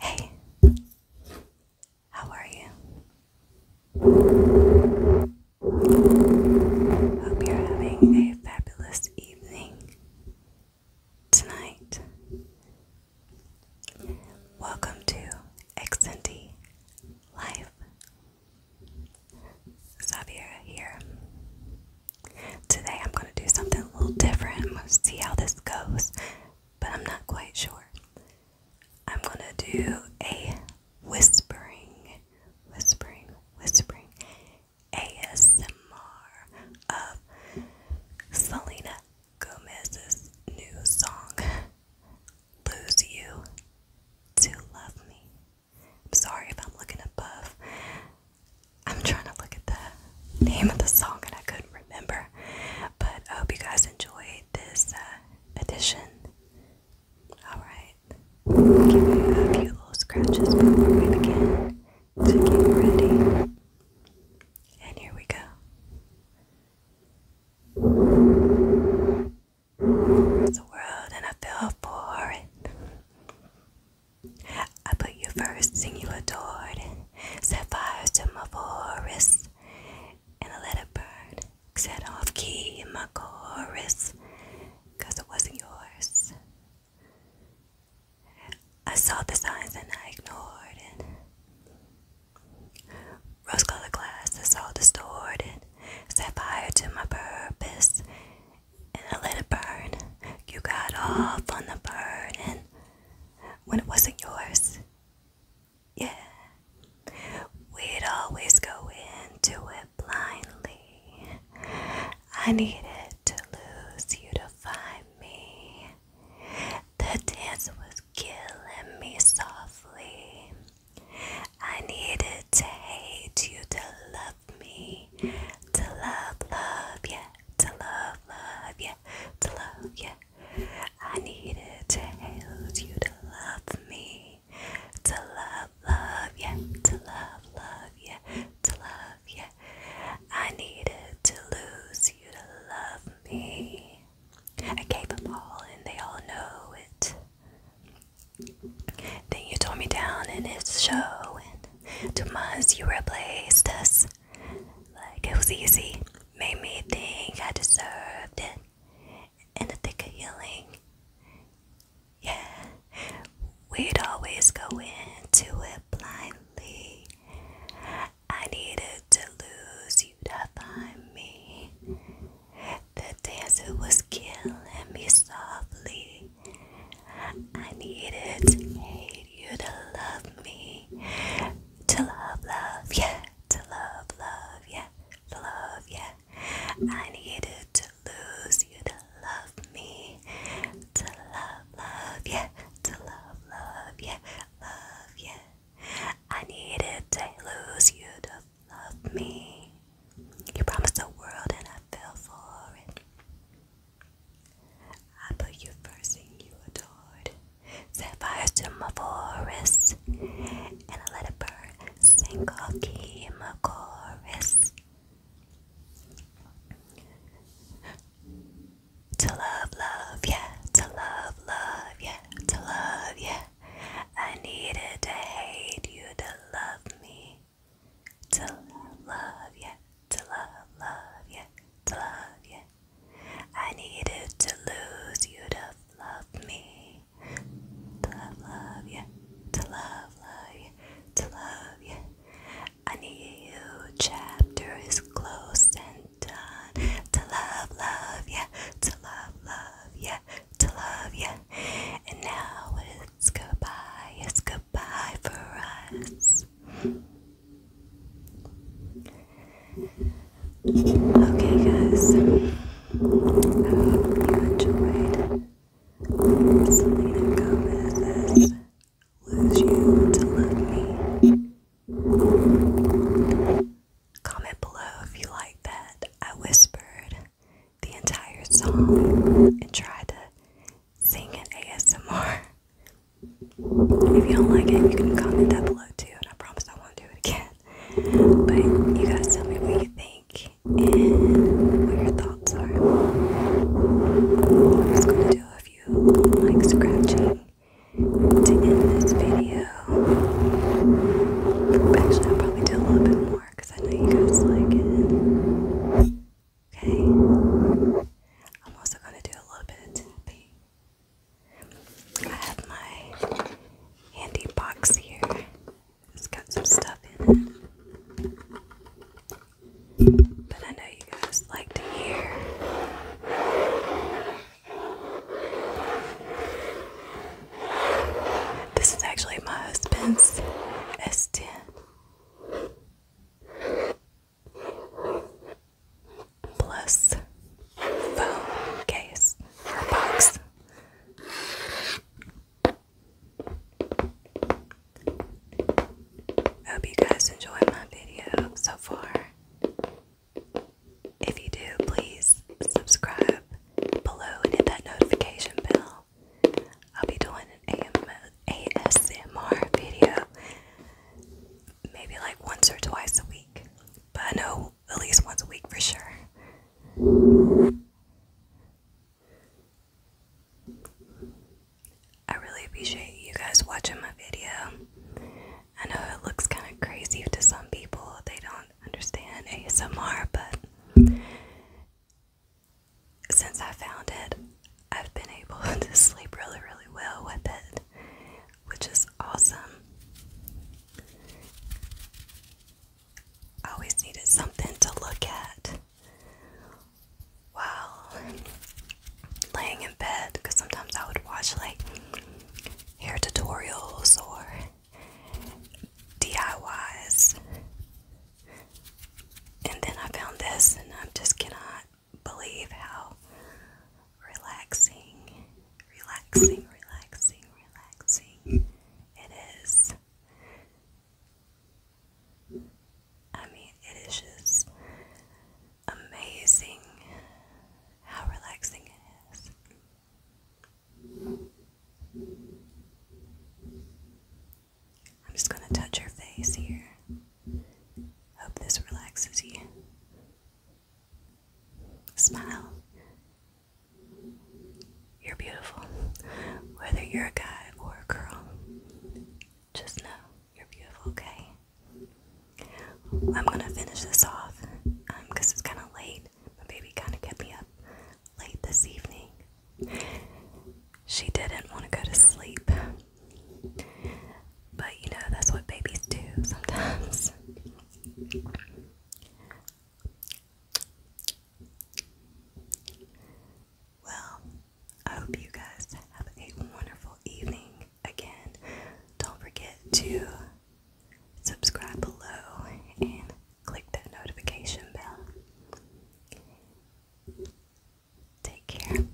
Hey, how are you? Hope you're having a fabulous evening tonight. Welcome to Xnd Life. Xavier here. Today I'm going to do something a little different. I'm see how this goes but I'm not quite sure. I'm gonna do a whispering, whispering, whispering ASMR of Selena Gomez's new song, Lose You to Love Me. I'm sorry if I'm looking above. I'm trying to look at the name of the song and I couldn't remember. But I hope you guys enjoyed this uh, edition. Alright. Give me a few little scratches before we begin to get ready. And here we go. It's world and I fell for it. I put you first, sing you adored. Set fires to my forest, and I let it burn. Set off key in my chorus, cause it wasn't yours. I saw the signs and I ignored it. Rose colored glass that's all distorted. Set fire to my purpose and I let it burn. You got off on the burden when it wasn't yours. Yeah. We'd always go into it blindly. I needed to lose you to find me. The dance was killing me softly. I needed to hate you to love me. To love, love, yeah to love, love you, to love you. I needed to hold you to love me, to love, love you, to love, love you, to love you. I needed to lose you to love me. I gave them all, and they all know it. Then you tore me down in its show, and to months you replaced us. Like it was easy, made me think I deserved it. In the thick of yelling, yeah, we'd always go into it blindly. I needed to lose you to find me. The dancer was killing me softly. I needed to hate you to love me. To love, love, yeah. To love, love, yeah. love, yeah. I needed to lose you to love me. To love, love, yeah. To love, love, yeah. Love, yeah. I needed to lose you to love me. You promised the world and I fell for it. I put you first and you adored. Set fire to my forest, and I let it burn. Sink off key in my chorus. To love, love, yeah. To love, love, yeah. To love, yeah. I needed to hate you to love me. To love, love, yeah. To love, love, yeah. To love, yeah. I needed to lose you to love me. To love, love you. To love, love you. To love you. I need you. Chapter is close and done. To love, love you. To love, love you. To love you. And now it's goodbye. It's goodbye for us. Okay, guys, I hope you enjoyed. Lose you to love me. Comment below if you like that. I whispered the entire song and tried to sing an ASMR if you do like it, you can comment that below too, and I promise I won't do it again. But you guys tell me what you think and what your thoughts are. I'm just gonna do a few like scratching to this video. Actually, I'll probably do a little bit more because I know you guys like it. Okay. I'm also gonna do a little bit I have my handy box here. It's got some stuff in it. But I know you guys like to hear this is actually my husband's S10 plus phone case or box. I hope you guys enjoyed my video so far. If you do, please subscribe below and hit that notification bell. I'll be doing an ASMR video maybe like once or twice a week, but I know at least once a week for sure. I really appreciate you guys watching my video. I know it looks kind of crazy to some people, they don't understand ASMR, but since I found it, I've been able to sleep really, really well with it, which is awesome. I always needed something to look at while laying in bed because sometimes I would watch like hair tutorials or DIYs. And then I found this, and I am just cannot believe how relaxing, relaxing, relaxing, relaxing it is. I mean, it is just amazing how relaxing it is. I'm just going to touch your face here. Hope this relaxes you. Smile. You're beautiful. Whether you're a guy or a girl, just know you're beautiful, okay? I'm gonna finish this off because um, it's kind of late. My baby kind of kept me up late this evening. She didn't want to go to sleep, but you know, that's what babies do sometimes. Well, I hope you guys have a wonderful evening. Again, don't forget to subscribe below and click that notification bell. Take care.